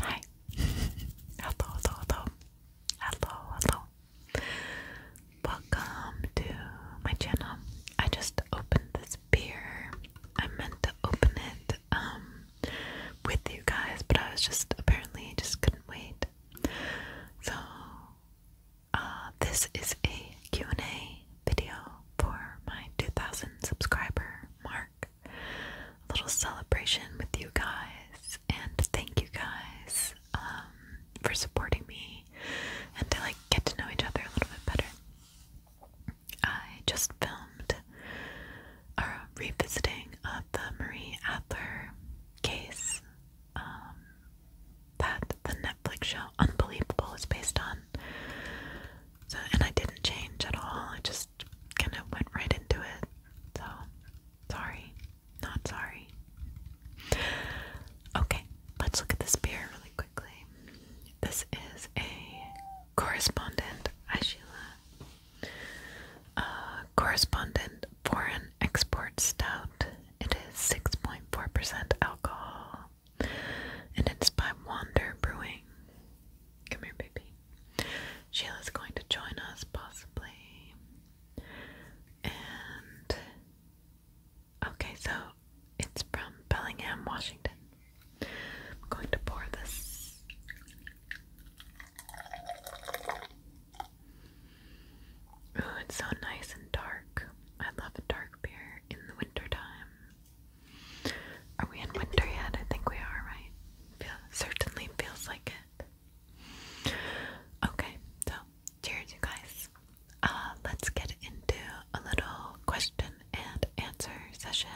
Hi. hello, hello, hello. Hello, Welcome to my channel. I just opened this beer. I meant to open it um with you guys, but I was just apparently just couldn't wait. So uh this is a Q&A video for my 2,000 subscriber mark. A little celebration with you guys, and thank you guys um, for supporting me and to like get to know each other a little bit better. I just filmed a revisiting of the Marie Adler case um, that the Netflix show Unbelievable is based on. So and I didn't change at all. I just kind of went right into it. So sorry, not sorry. Okay, let's look at this beer really quickly. This is a correspondent hi Sheila. Uh, correspondent foreign export stout. It is 6.4% alcohol and it's by Wander Brewing. Come here, baby. Sheila's going to join us, possibly. And okay, so it's from Bellingham, Washington. I'm going to pour this. Oh, it's so nice and dark. I love dark beer in the wintertime. Are we in winter yet? I think we are, right? Feel, certainly feels like it. Okay, so cheers, you guys. Uh, let's get into a little question and answer session.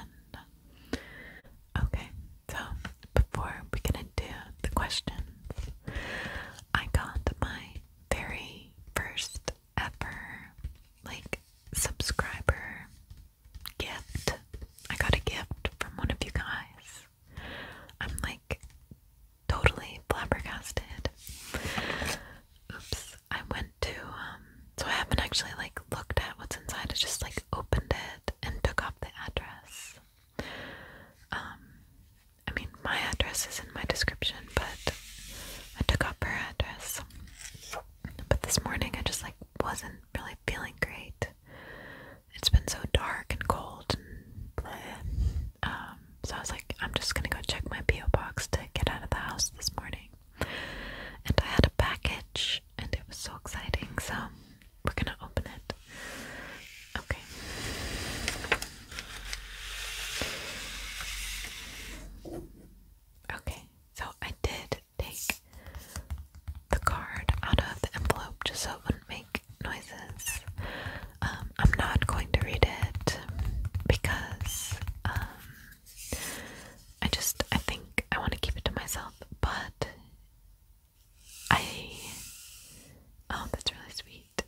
Okay, so before we get into the questions, I got my very first ever like subscriber gift. I got a gift from one of you guys. I'm like totally flabbergasted. Oops. I went to um, so I haven't actually like looked at what's inside. I just like opened it and took off the address. Um I mean my address is in my description, but I took off her address. But this morning I just like wasn't really feeling great. It's been so dark and cold and um, so I was like, I'm just gonna go check my P.O. box to get out of the house this morning. And I had a package and it was so exciting, so we're gonna open it. Okay. Okay so I did take the card out of the envelope just so it wouldn't make noises. Um, I'm not going to read it because um, I just I think I want to keep it to myself. But I oh, that's really sweet.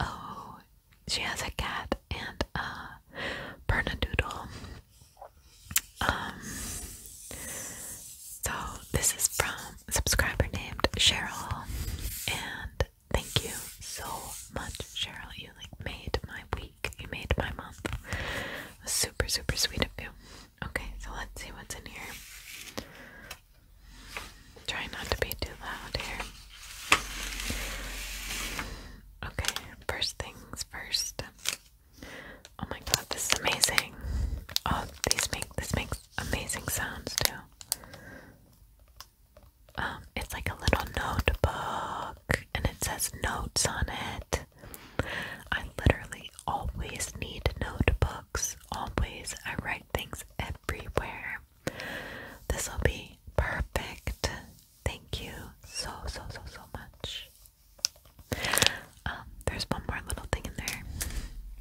Oh, she has a cat and a bernadoodle. Um, so this is from subscriber named Cheryl, and thank you so much, Cheryl. You like made my week. You made my month. Super, super sweet of you. Okay, so let's see what's in here. Try not to be too loud here. Okay, first things first. Oh my god, this is amazing. Oh, these make this makes amazing sounds too. Um, it's like a little notebook and it says notes on it. I literally always need notebooks. Always I write things everywhere. This'll be perfect. Thank you so so so so much. Um, there's one more little thing in there.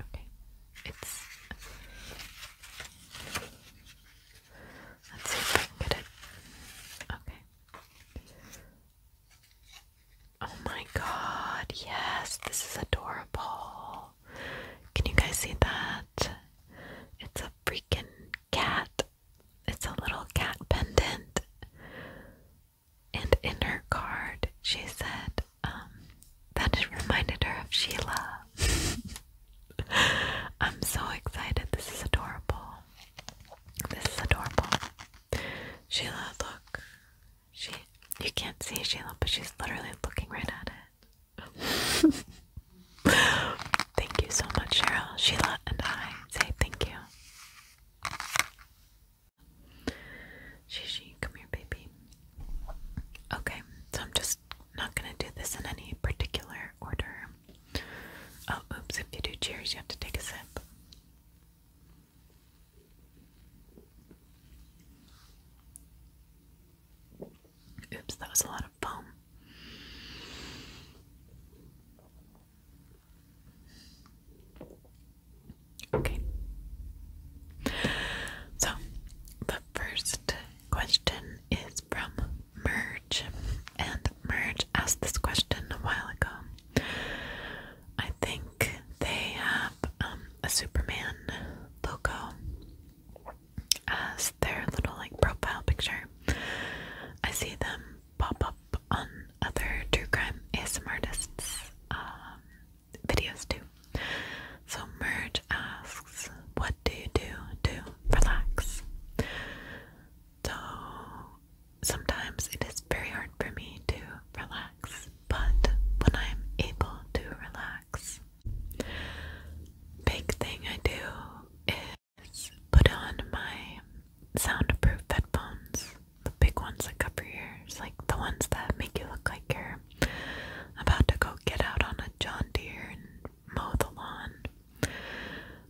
Okay, it's. Let's see if I can get it. Okay. Oh my god! Yes, this is adorable. Can you guys see that? It's a freaking cat it's a little cat pendant. And in her card, she said um, that it reminded her of Sheila. I'm so excited. This is adorable. This is adorable. Sheila, look. She, you can't see Sheila, but she's literally looking right at it. thank you so much, Cheryl. Sheila and I say thank you. Shishi, come here, baby. Okay, so I'm just not gonna do this in any particular order. Oh, oops, if you do cheers, you have to take a sip. Oops, that was a lot of Boom. Okay. So, the first question is from Merge, and Merge asked this question a while ago. I think they have um, a Superman logo as their little like profile picture, I see them pop up on other true crime ASMR artists um, videos too. So Merge asks, "What do you do to relax?" So sometimes it is very hard for me to relax, but when I'm able to relax. Big thing I do is is put on my soundproof headphones, the big ones that cover your ears, like the ones that make you look like you're about to go get out on a John Deere and mow the lawn,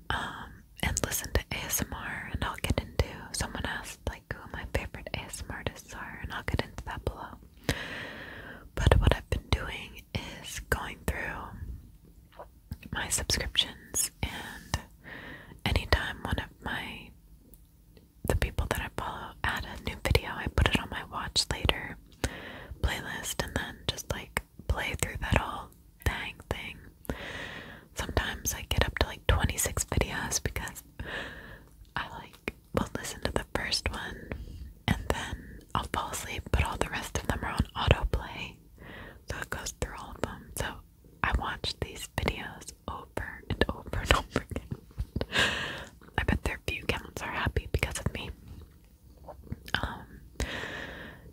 um, and listen to ASMR. And I'll get into someone asked like who my favorite ASMR artists are, and I'll get into that below. But what I've been doing is going through my subscriptions and anytime one of my the people that I follow add a new video I put it on my watch later playlist and then just like play through that whole dang thing. Sometimes I get up to like 26 videos because I like will listen to the first one and then I'll fall asleep but all the rest of them are on autoplay so it goes through all of them. So I watched these videos over and over and over again. I bet their view counts are happy because of me. Um,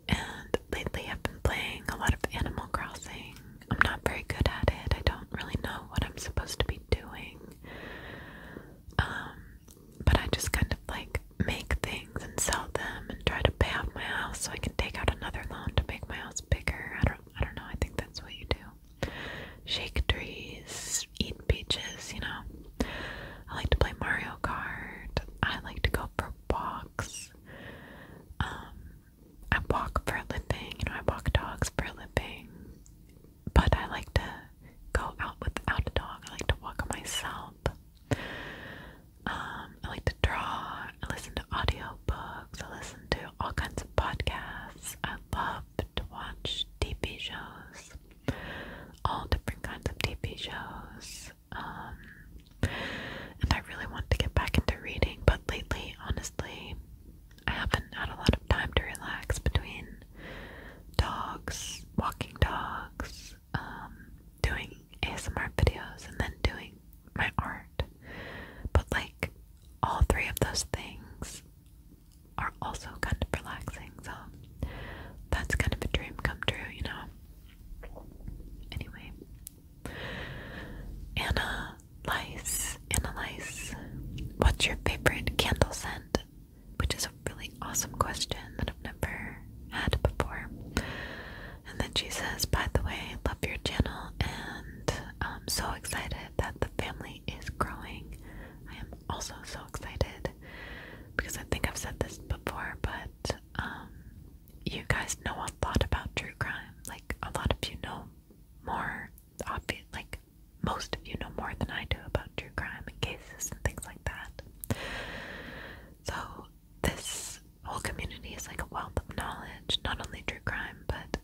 and lately I've been playing a lot of Animal Crossing. I'm not very good at it. I don't really know what I'm supposed to be doing. Um, but I just kind of like make things and sell them and try to pay off my house so I can take out another loan to make my house bigger. I don't I don't know, I think that's what you do. Shake trees, eat peaches, you know. I like to play Mario Kart. I like to go for walks. Um I walk for a living, you know, I walk dogs for a living. But I like to go out without a dog. I like to walk myself. Um, I like to draw, I listen to audiobooks, I listen to all kinds of podcasts. I love to watch TV shows, all different kinds of TV shows. Um, and I really want to get back into reading, but lately, honestly, I haven't had a lot of time to relax between dogs, walking dogs, um, doing ASMR videos and then doing my art. But like all three of those things are also kind of relaxing, so that's kind of a dream come true, you know. Anyway, Anna Lice, Anna Lice, what's your favorite candle scent? Which is really awesome question that I've never had before. And then she says, By the way, love your channel and I'm um, so excited that the family is growing. I am also so excited because I think I've said this before, but um, you guys know a lot about true crime. Like, a lot of you know more, obvious, like, most of you know more than I do about true crime and cases and things like that. So, this whole community is like a wealth of knowledge, not only true crime, but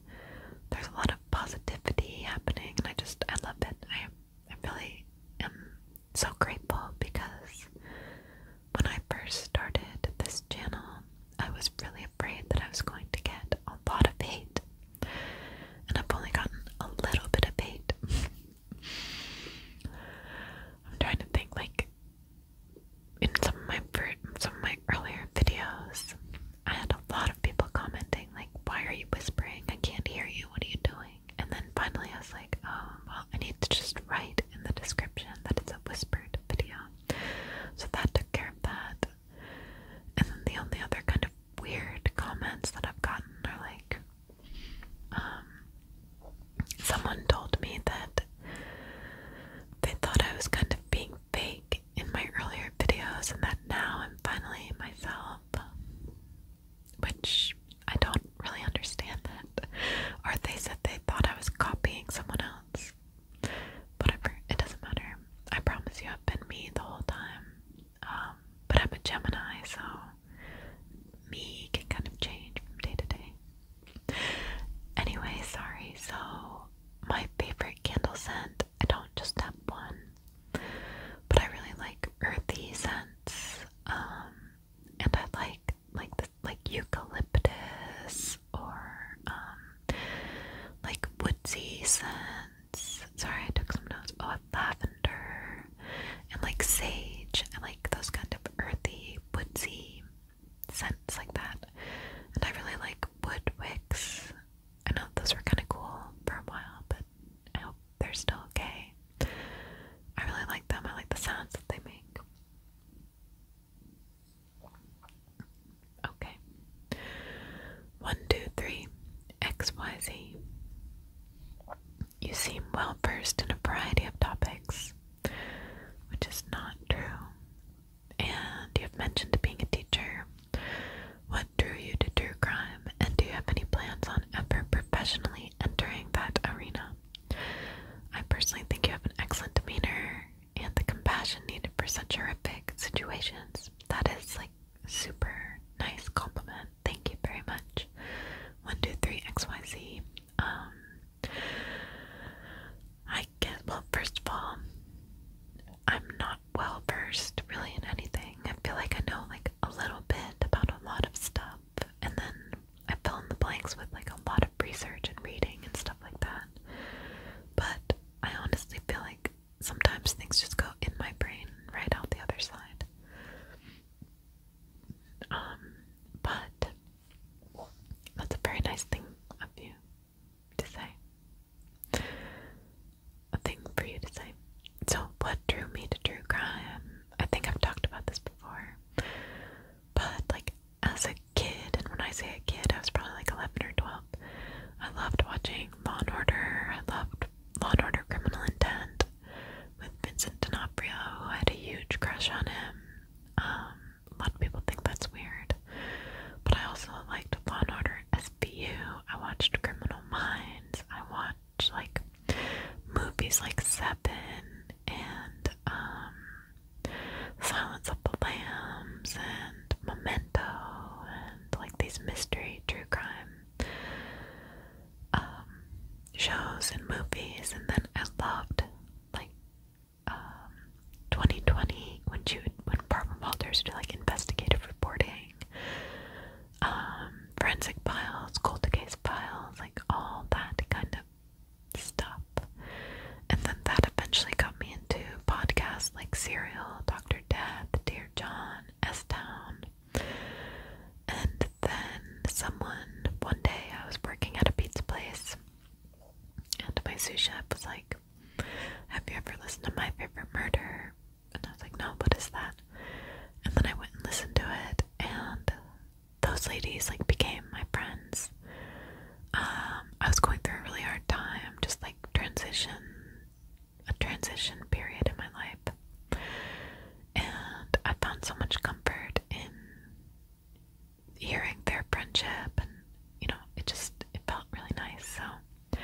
there's a lot of positivity happening, and I just I love it. I I really am so grateful because when I first started this channel, I was really afraid that I was going to get a lot of hate, and I've only gotten a little bit of hate. I'm trying to think like in some of my some of my earlier videos, I had a lot of people commenting like, "Why are you whispering? I can't hear you. What are you doing?" And then finally, I was like, "Oh, well, I need to just write in the description that it's a whispered video." So that took care of that. And then the only other kind of weird comments that I've gotten are like, um, someone told me that they thought I was kind of being fake in my earlier videos, and that now I'm finally myself. Which I don't really understand that. Or they said they thought I was copying someone else. but it doesn't matter. I promise you, I've been me the whole time. Um, but I'm a Gemini, so me can kind of change from day to day. Anyway, sorry. So, my favorite candle scent, I don't just have one, but I really like earthy scents. Um, and I like like like eucalyptus or um like woodsy scents. Sorry, I took some notes. Oh, lavender and like sage and like those kind of earthy, woodsy scents like that. And I really like wood wicks. I know those were kind of cool for a while, but I hope they're still okay. I really like them. I like the sounds that they make. Okay. One, two, three. X, Y, Z. You seem well versed in a variety of topics, which is not true. And you have mentioned being a teacher. What drew you to true crime, and do you have any plans on ever professionally entering that arena? I personally think you have an excellent demeanor and the compassion needed for such horrific situations. That is like super nice compliment. Thank you very much. One, two, three, XYZ. Um, I get well. First of all, I'm not well versed really in anything. I feel like I know like a little bit about a lot of stuff, and then I fill in the blanks with like a lot of research and reading and stuff like that. But I honestly feel like sometimes things just go in my brain right out the other side. Um, but that's a very nice thing of you to say. A thing for you to say. So, what drew me to true crime? I think I've talked about this before. But, like, as a kid, and when I say a kid, I was probably like 11 or 12. I loved watching Law and Order. I loved Law and Order Criminal Intent with Vincent D'Onofrio, who had a huge crush on him. Um, a lot of people think that's weird, but I also liked Law and Order SVU. I watched Criminal Minds. I watched like movies like Seven and um, Silence of the Lambs and Memento and like these mystery true crime um, shows and movies, and then I loved like 2020 um, when you when Barbara Walters would do like investigative reporting, um, forensic files, cold case files, like all that kind of stuff. And then that eventually got me into podcasts like Serial, Doctor Death, Dear John, S Town. And then someone one day I was working at a pizza place and my sous chef was like, Have you ever listened to my favorite murder? And I was like, No, what is that? And then I went and listened to it and those ladies like became my friends. Um, I was going through a really hard time, just like transition a transition period in my life and I found so much comfort in hearing their friendship and you know it just it felt really nice so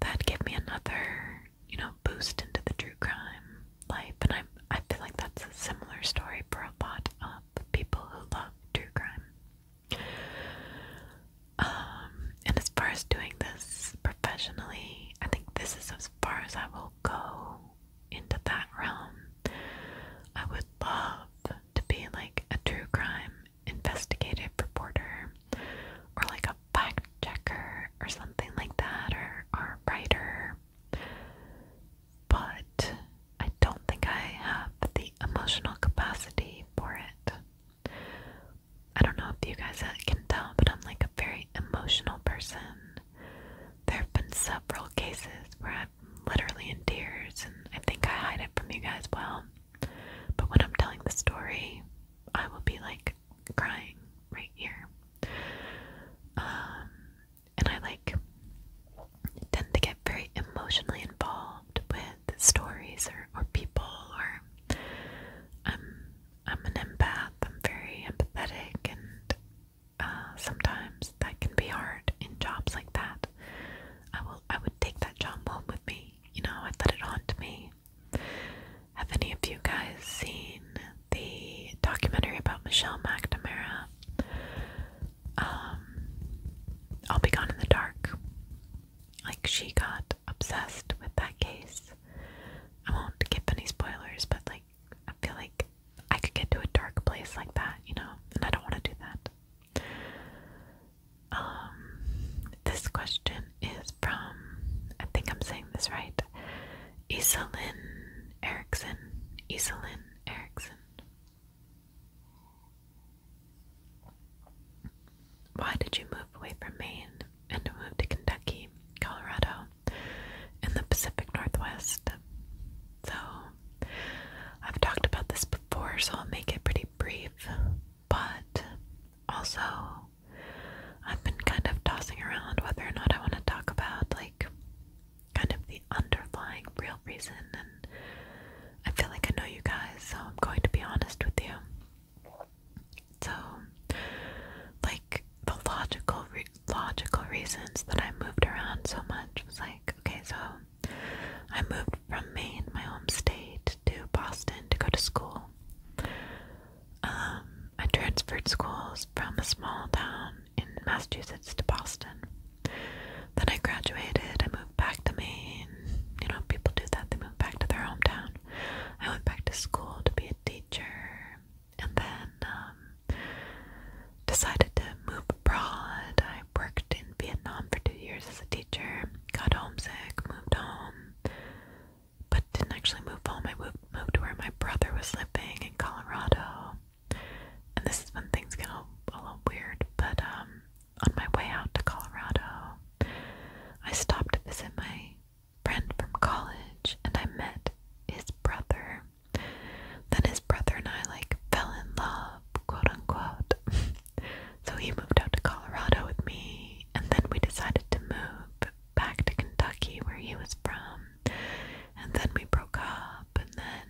that gave me another you know boost into the true crime life and I I feel like that's a similar story for a lot of people who love true crime um and as far as doing this professionally I think this is as far as I will go into that realm. I would love to be like a true crime investigative reporter or like a fact checker or something like that or, or a writer. But I don't think I have the emotional capacity for it. I don't know if you guys can tell, but I'm like a very emotional person. There have been several cases where I'm literally in tears, and I think I hide it from you guys well. But when I'm telling the story, I will be like crying right here. Um, and I like tend to get very emotionally involved with stories or, or people or i I'm an empath. I'm very empathetic and uh, sometimes that can be hard in jobs like that. I will I would take that job home with me. You know, I'd let it haunt me. Have any of you guys seen the documentary about Michelle McNamara? Um, I'll be gone in the dark. Like she got obsessed with that case. I won't give any spoilers, but like I feel like I could get to a dark place like that, you know, and I don't want to do that. Um, this question is from, I think I'm saying this right, Iselin Erickson. Iselin Erickson. Why did you move away from Maine and move to Kentucky, Colorado, in the Pacific Northwest. So, I've talked about this before, so I'll make it pretty brief, but also I've been kind of tossing around whether or not I want to talk about like kind of the underlying real reason and I feel like I know you guys, so I'm going to be honest with you. So, like the logical re logical reasons that I moved around so much it was like, okay, so I moved from Maine, my home state, to Boston to go to school. Um, I transferred schools from a small town in Massachusetts to Boston. Then I graduated, I moved back to Maine. You know, people do that, they move back to their hometown. I went back to school to be a teacher and then um, decided to move abroad. I worked in Vietnam for two years as a teacher, got homesick, moved home, but didn't actually move home. I moved, moved to where my brother was living in Colorado. And this is when things get a, little weird, but um, on my way out to Colorado, I stopped to visit my friend from college and I met his brother. Then his brother and I like fell in love, quote unquote. so he moved out to Colorado with me and then we decided to move back to Kentucky where he was from. And then we broke up and then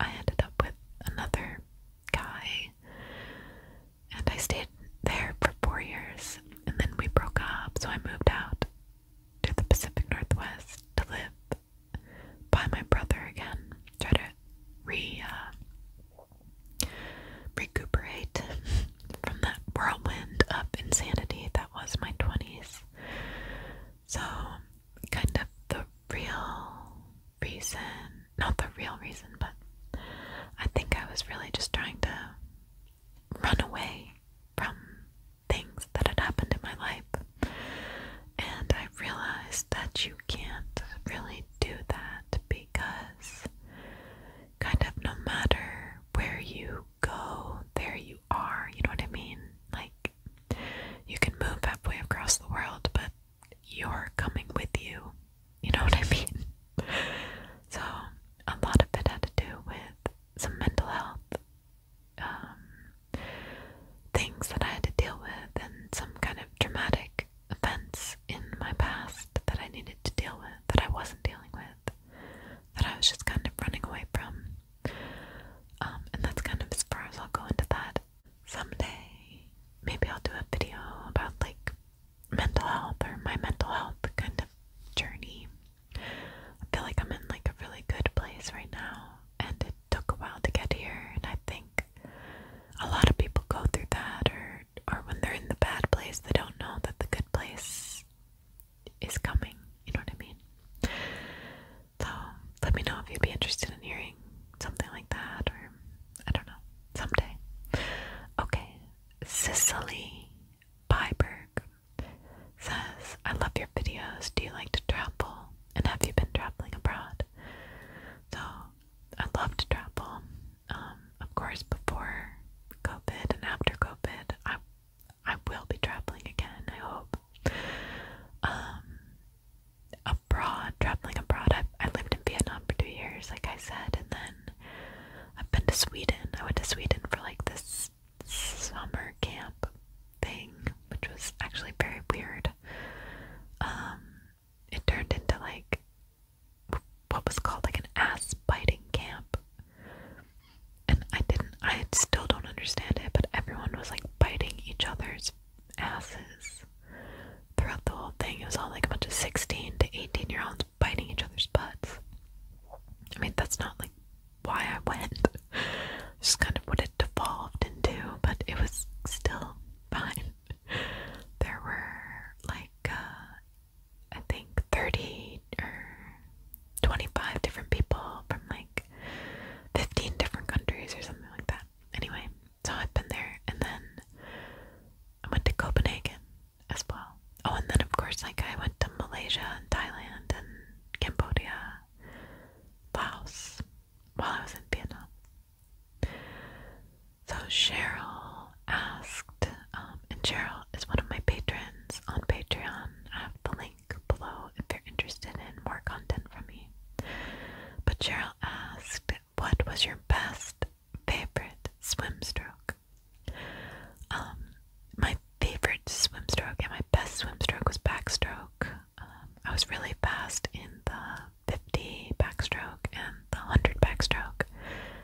I ended up with another guy and I stayed there for four years and then we broke up so I moved out to the Pacific Northwest to live by my brother again. Try to re uh, recuperate from that whirlwind of insanity that was my twenties. So, kind of the real reason, not the real reason, but I think I was really just trying to run away from things that had happened in my life. And I realized that you can't really do that because, kind of, no matter where you go, there you are. You know what I mean? Like, you can move halfway across the world, but you're coming with you. You know what I mean? so, a lot of it had to do with some mental health um, things that I had to deal with, and some kind of traumatic events in my past that I needed to deal with that I wasn't dealing with, that I was just kind of running away from. Um, and that's kind of as far as I'll go into that. Someday, maybe I'll do a video about like mental health or my mental health kind of journey. I feel like I'm in like a really good place right now and it took a while to get here and I think a lot of people go through that or or when they're in the bad place they don't know that the good place is coming, you know what I mean? So let me know if you'd be interested in hearing something like that or I don't know, someday. Okay. Cicely Byberg says, I love your videos. Do you like to travel? And have you been traveling abroad? So I love to travel. Um, of course, before COVID and after COVID, I I will be traveling again. I hope. Um, abroad, traveling abroad. I I lived in Vietnam for two years, like I said, and then I've been to Sweden. I went to Sweden for like this summer camp thing, which was actually very weird. Um, it turned into like what was called like an ass biting camp, and I didn't. I still don't understand it, but everyone was like biting each other's asses throughout the whole thing. It was all like a bunch of sixteen to eighteen year olds biting each other's butts. I mean, that's not like why I went. It's just kind of what it devolved into, but it was still fine. There were like, uh, I think 30 or 25 different people from like 15 different countries or something like that. Anyway, so I've been there and then I went to Copenhagen as well. Oh, and then of course, like I went to Malaysia and Thailand and Cambodia, Laos, while I was in Vietnam. So Cheryl asked, um, and Cheryl is one of my patrons on Patreon. I have the link below if you're interested in more content from me. But Cheryl asked, What was your best favorite swim stroke? Um, my favorite swim stroke and my best swim stroke was backstroke. Um, I was really fast in the 50 backstroke and the 100 backstroke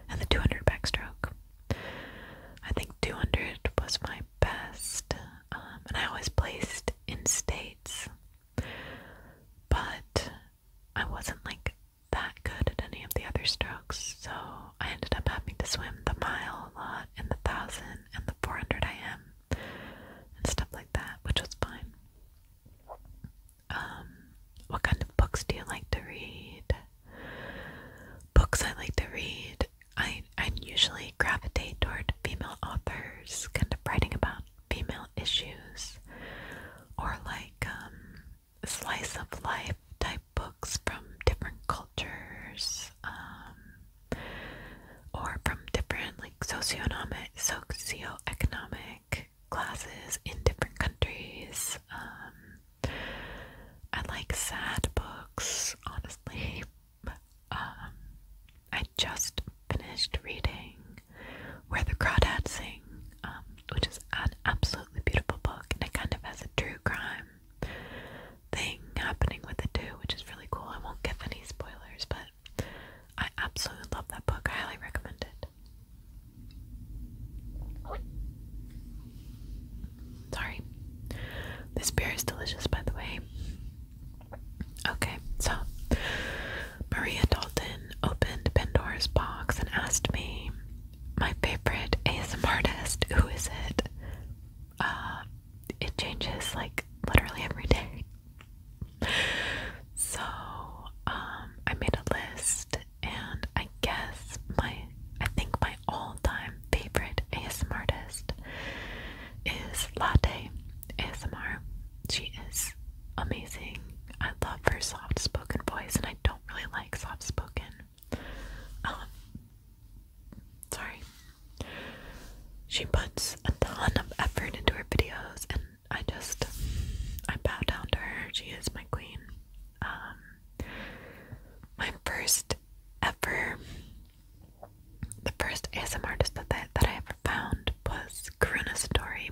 and the 200 backstroke. I think 200 was my best, um, and I was placed in states, but I wasn't like that good at any of the other strokes so I ended up having to swim the mile a lot and the thousand and the 400 I am and stuff like that, which was fine. Um, what kind of books do you like to read? Books I like to read. I I usually gravitate toward female authors, kind of writing about female issues, or like um, slice of life type books from different cultures um, or from different like socioeconomic classes in different countries. Um, I like sad books, honestly. Um, I just finished reading Where the Crawdads Sing, which is an absolutely beautiful book, and it kind of has a true crime thing happening with it too, which is really cool. I won't give any spoilers, but I absolutely love that book. I highly recommend it. Sorry. This beer is delicious, by the way. Okay, so Maria Dalton opened Pandora's box and asked me my favorite ASMR artist. Who is it? Uh, it changes like literally every day. So, um, I made a list, and I guess my, I think my all-time favorite ASMR artist is Latte ASMR. She is amazing. I love her soft-spoken voice, and I don't really like soft-spoken um, sorry. She puts a ton of effort into her videos, and I just I bow down to her. She is my queen. Um, my first ever, the first ASMR artist that I, that I ever found was Karuna Satori.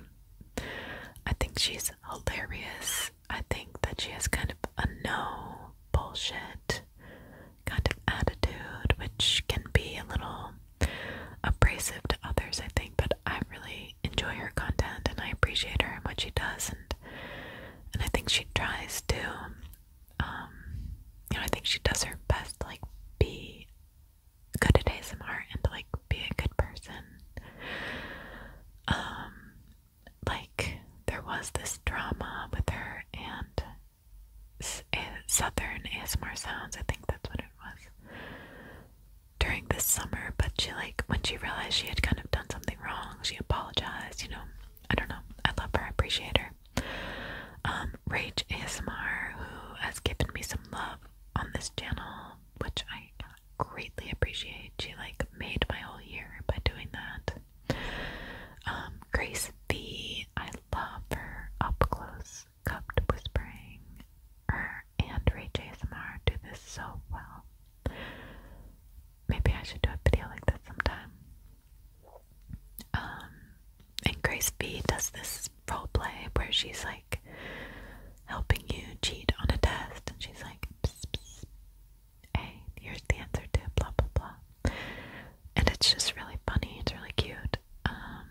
I think she's hilarious I think that she has kind of a no bullshit kind of attitude, which can be a little abrasive to others, I think, but I really enjoy her content and I appreciate her and what she does and and I think she tries to um, you know, I think she does her best to like be good at ASMR and to like be a good person. Um, like there was this drama with her and eh, Southern ASMR Sounds, I think that's what it was, during this summer. But she, like, when she realized she had kind of done something wrong, she apologized, you know. I don't know. I love her. I appreciate her. Um, Rage ASMR, who has given me some love on this channel, which I greatly appreciate. She like made my whole year by doing that. Um, Grace B, I love her up close, cupped whispering. Her and Ray JSMR do this so well. Maybe I should do a video like this sometime. Um, and Grace B does this role play where she's like helping you cheat on a test, and she's like, hey, here's the answer to blah blah blah. And it's just really funny, it's really cute. Um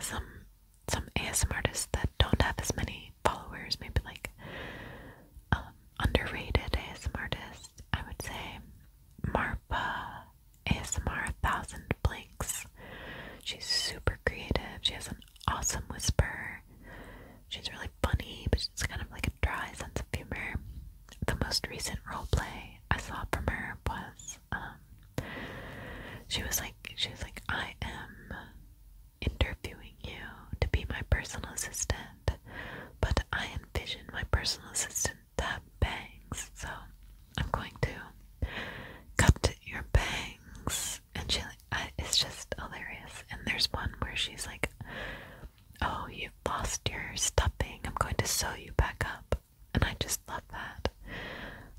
some some ASM artists that don't have as many followers, maybe like um, underrated ASMR artists, I would say Marpa ASMR Thousand Blinks. She's super creative. She has an awesome whisper. She's really funny, but she's kind of like a dry sense of humor. The most recent role play I saw from her was um, she was like she was like I am interviewing you to be my personal assistant, but I envision my personal assistant to bangs, so I'm going to cut your bangs. And she, I, it's just hilarious. And there's one where she's like, Oh, you've lost your stuffing. I'm going to sew you back up. And I just love that.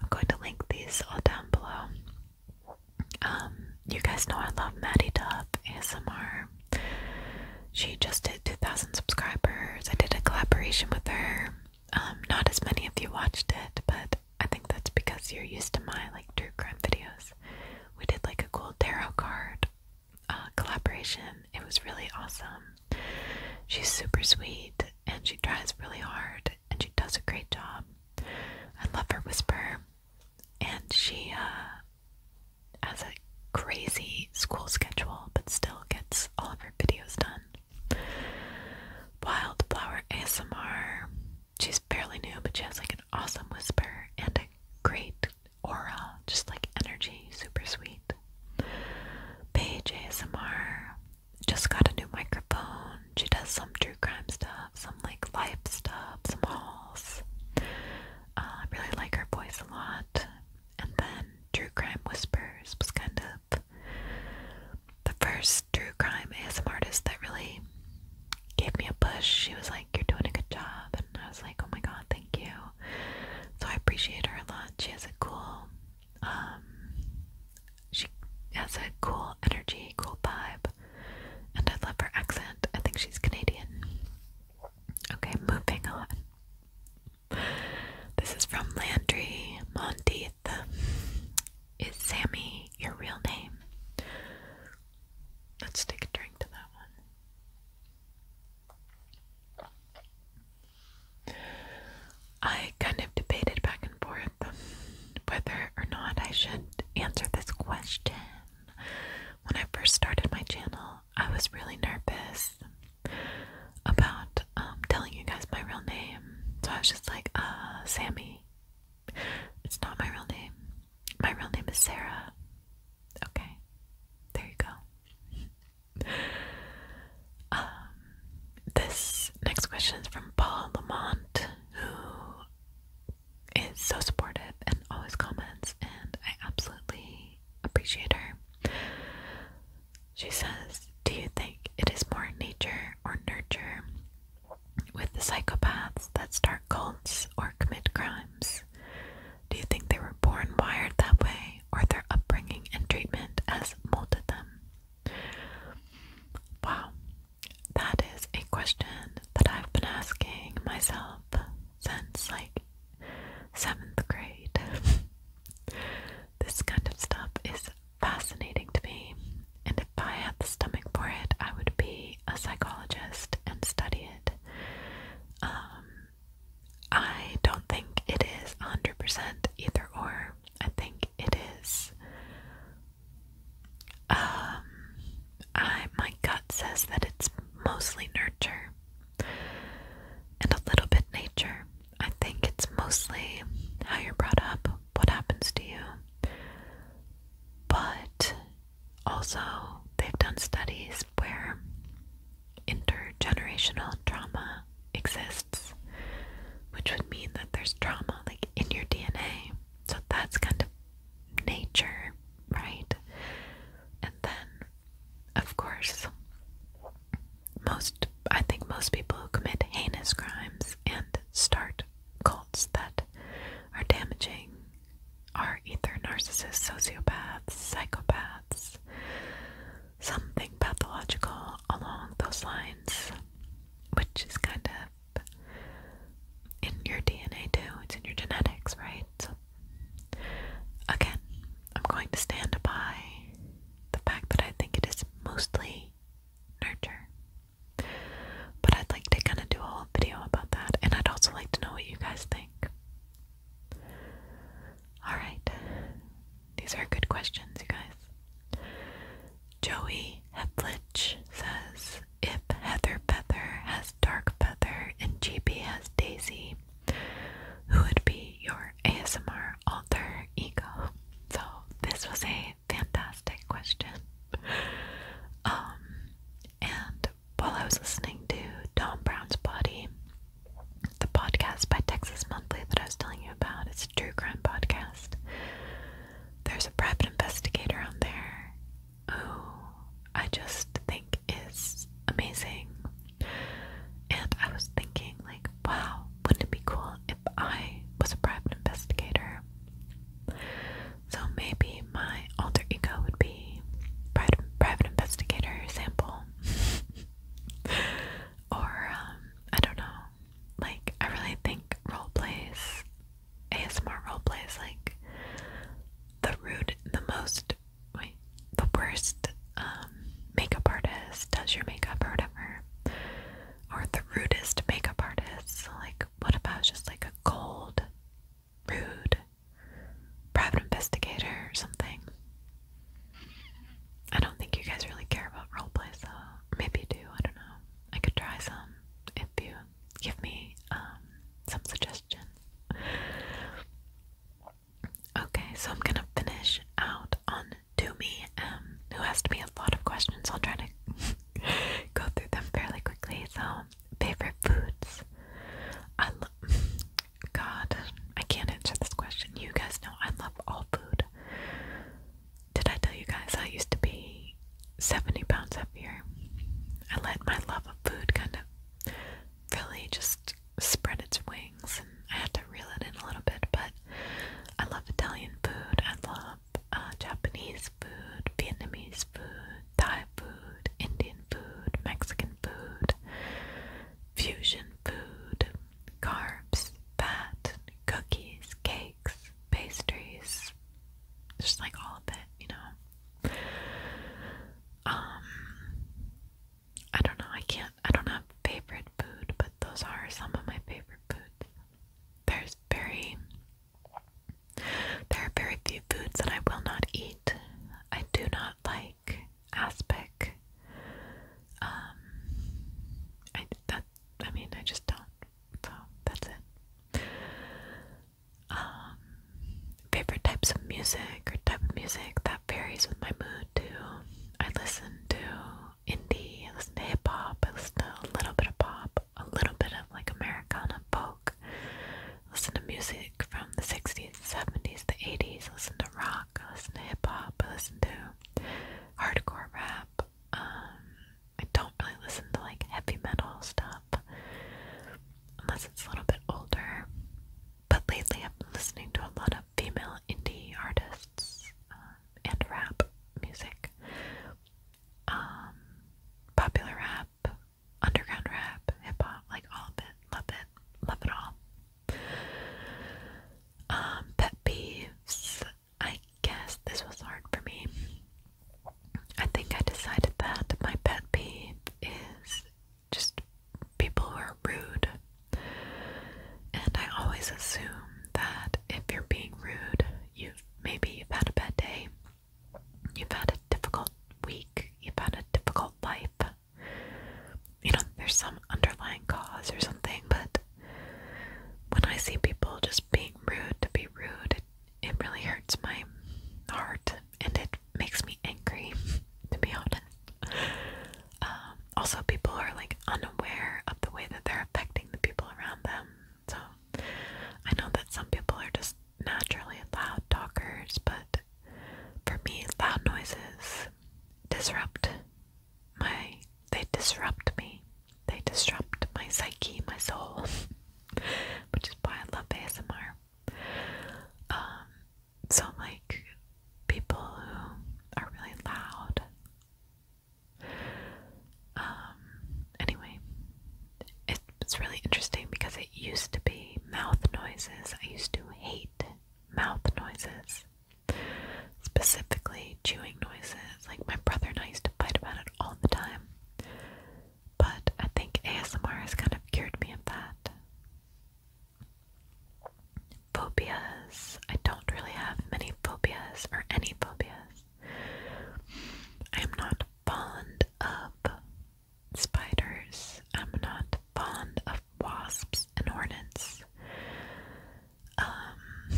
I'm going to link these all down below. Um, you guys know I love Maddie Dub ASMR. She just did 2,000 subscribers. I did a collaboration with her. Um, not as many of you watched it, but I think that's because you're used to my like true crime videos. We did like a cool tarot card uh, collaboration. It was really awesome. She's super sweet and she tries really hard and she does a great job. I love her whisper. And she uh, has a crazy school schedule but still gets all of her videos done. Wildflower ASMR. She's fairly new, but she has like an awesome whisper and a great aura, just like energy, super sweet. Paige ASMR just got a new microphone. She does some true crime stuff, some like life stuff, some hauls. Uh, I really like her voice a lot. And then True Crime Whispers was kind of the first true crime ASMR artist that really gave me a push. She was like, You're doing a good job. And I was like, Oh my God, thank you. So I appreciate her a lot. She has a cool, um, she has a cool energy, cool vibe. And I love her accent. I think she's Canadian. Okay, moving on. This is from Landry Monteith. Is Sammy your real name? Let's take a drink to that one. I kind of debated back and forth whether or not I should answer this question. When I first started my channel, I was really nervous about um, telling you guys my real name. So I was just like, uh, Sammy. It's not my real name. My real name is Sarah. Okay, there you go. Um, this next question is from Paul Lamont, who is so supportive and always comments, and I absolutely appreciate her. She says, Do you think it is more nature or nurture with the psychopaths that start cults or commit crimes? Do you think they were born wired that way, or their upbringing and treatment has molded them? Wow, that is a question that I've been asking myself since like seventh grade. this kind of stuff is fascinating to me, and if I had the stomach for it, I would be a psychologist and study it. Um, I don't think it is 100% either or. I think it is. Um, I my gut says that it's mostly nurture and a little bit nature. I think it's mostly how you're brought up, what happens to you. But also, they've done studies where intergenerational trauma exists, which would mean that there's trauma like in your DNA. So that's kind of nature, right? And then, of course, most I think most people who commit heinous crimes and start cults that are damaging are either narcissists, sociopaths, psychopaths, something pathological along those lines, which is kind of in your DNA too, it's in your genetics, right? So, again, I'm going to stand by the fact that I think it is mostly nurture. But I'd like to kind of do a whole video about that, and I'd also like to know what you guys think. Alright, these are good questions, you guys. Joey Heplich says If Heather Pether has Dark Pether and GB has Daisy, who would be your ASMR alter ego? So, this was a fantastic question. Um, and while I was listening to Tom Brown's Body, the podcast by Texas Monthly that I was telling you about. It's a true crime podcast. There's a private investigator on there who I just think is amazing. And I was thinking, like, wow, wouldn't it be cool if I was a private investigator? So maybe my alter ego would be private, private investigator sample. or, um, I don't know. Like, I really think role plays, ASMR role plays, like, the rude, the most, wait, the worst um, makeup artist does your makeup or whatever. Or the rudest makeup artist. So, like, what about just like a cold rude private investigator or something. I don't think you guys really care about roleplays though. Maybe you do, I don't know. I could try some if you give me um some suggestions. Okay, so I'm gonna finish out on Do Me um, who asked me a lot of questions. I'll try to go through them fairly quickly. So favorite foods. I love. God, I can't answer this question. You guys know I love all food. Did I tell you guys I used to be 70 pounds heavier? I let my love of food kind of really just spread its wings, and I had to reel it in a little bit. But I love Italian food. I love uh, Japanese food, Vietnamese food, Thai food, Indian food, Mexican food, fusion food, carbs, fat, cookies, cakes, pastries, just like all of it, you know. Um I don't know, I can't I don't have favorite food, but those are some of my favorite foods. There's very there are very few foods that I will not eat. I do not like aspic. Um, I mean I just don't. So that's it. Um, favorite types of music or type of music that varies with my mood too. I listen to indie, I listen to hip hop, I listen to a little bit of pop, a little bit of like Americana folk. Listen to music from the 60s, 70s, the 80s. Listen to rock. Listen to hip hop. Listen to hardcore rap. Um, I don't really listen to like heavy metal stuff unless it's a little bit older. But lately, I've been listening to a lot of female indie artists um, and rap music. Um, popular rap, underground rap, hip hop, like all of it. Love it. Love it all. Um, pet peeves. I guess this was hard for me. I think I decided that my pet peeve is just people who are rude. And I always assume that if you're being rude, you maybe you've had a bad day You've had a difficult week, you've had a difficult life. You know, there's some underlying cause or something, but when I see people just being rude to be rude, it, it really hurts my heart and it makes me angry, to be honest. Um, also, people are like unaware of the way that they're affecting the people around them, so I know that some people are just naturally loud talkers, but for me, loud noises disrupt my they disrupt me. They disrupt my psyche, my soul, which is why I love ASMR. Um, so like people who are really loud, um, anyway, it, it's really interesting because it used to be mouth noises. I used to hate mouth noises, specifically chewing noises. Like my brother and I used to fight about it all the time. But I think ASMR has kind of cured me of that. Phobias. I don't really have many phobias or any phobias. I am not fond of spiders. I'm not fond of wasps and hornets. Um,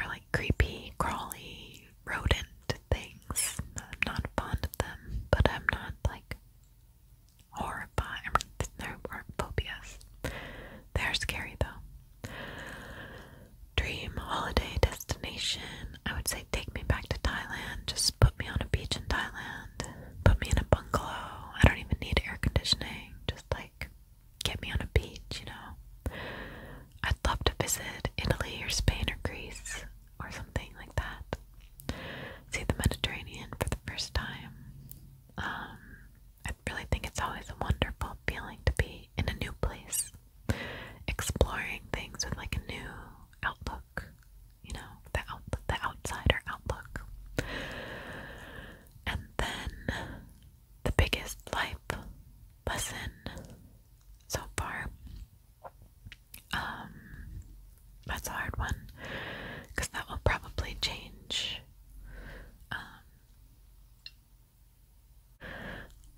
or like creepy, crawly, rodent things. I'm not fond of them, but I'm not like horrified. I mean, They're scary though. Dream holiday destination. I would say take me back to Thailand. Just put me on a beach in Thailand. Put me in a bungalow. I don't even need air conditioning. Just like get me on a beach, you know. I'd love to visit Italy or Spain or Greece or something like that. See the Mediterranean for the first time. Um, I really think it's always a wonderful feeling to be in a new place exploring things with like a new outlook, you know, the out the outsider outlook. And then the biggest life lesson so far. Um that's a hard one because that will probably change. Um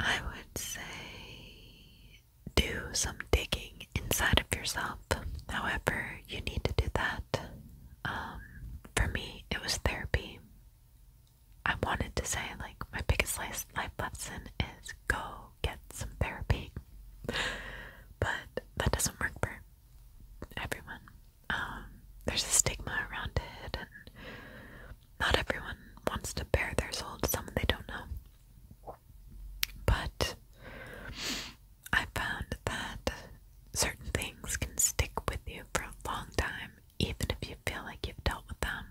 I would say do some digging inside of yourself. However, you need to do that. Um, for me, it was therapy. I wanted to say, like, my biggest life lesson is go get some therapy, but that doesn't work for everyone. Um, there's a stigma around it, and not everyone wants to bare their soul Some they don't know. But I found that certain things can stick with you for a long time, even if you feel like you've dealt with them.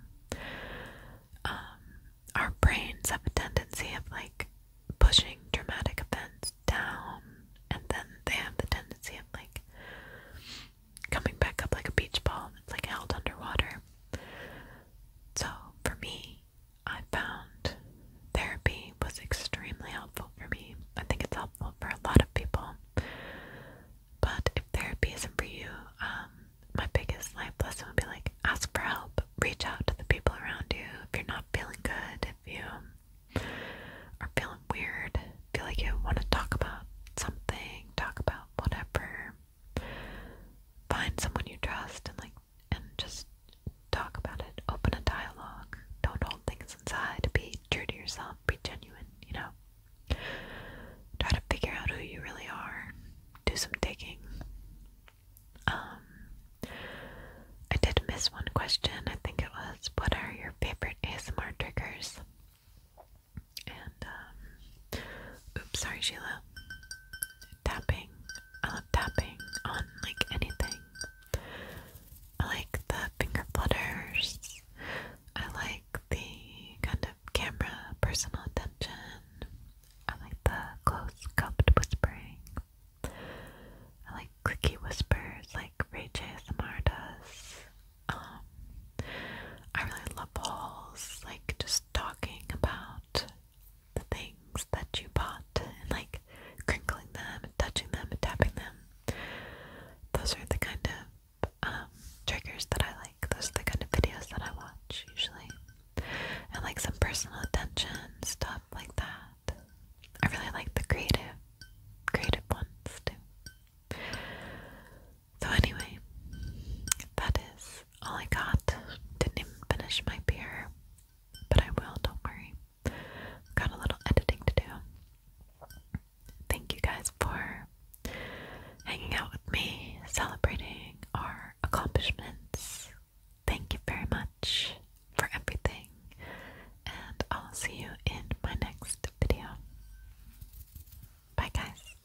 Um, our brains have a tendency of like pushing traumatic events down, and then they have the tendency of like coming back up like a beach ball It's like held underwater. So, for me, I found therapy was extremely helpful for me. I think it's helpful for a lot of people. But if therapy isn't for you, um, my biggest life lesson would be like ask for help, reach out to the people around you. If you're not feeling good, if you are feeling weird, feel like you want to talk about something, talk about whatever, Find someone you trust and like and just talk about it. Open a dialogue. Don't hold things inside. Be true to yourself. Be genuine, you know. Try to figure out who you really are. Do some digging. Um I did miss one question. I think it was what are your favorite ASMR triggers? And um, Oops, sorry, Sheila. Tapping. I love tapping on like anything. I like the finger flutters. I like the kind of camera personal attention. I like the close cupped whispering. I like clicky whispers like Ray J does. Um I really love balls, like just talking about the things that you bought and like crinkling them touching them tapping them. Those are the kind of um, triggers that I like. Those are the kind of videos that I watch usually. And like some personal attention stuff like that. I really like the creative, creative ones too. So, anyway, that is all I got. Didn't even finish my beer, but I will, don't worry. Got a little editing to do. Thank you guys for hanging out with me, celebrating our accomplishments. Thank you very much for everything, and I'll see you in my next video. Bye, guys.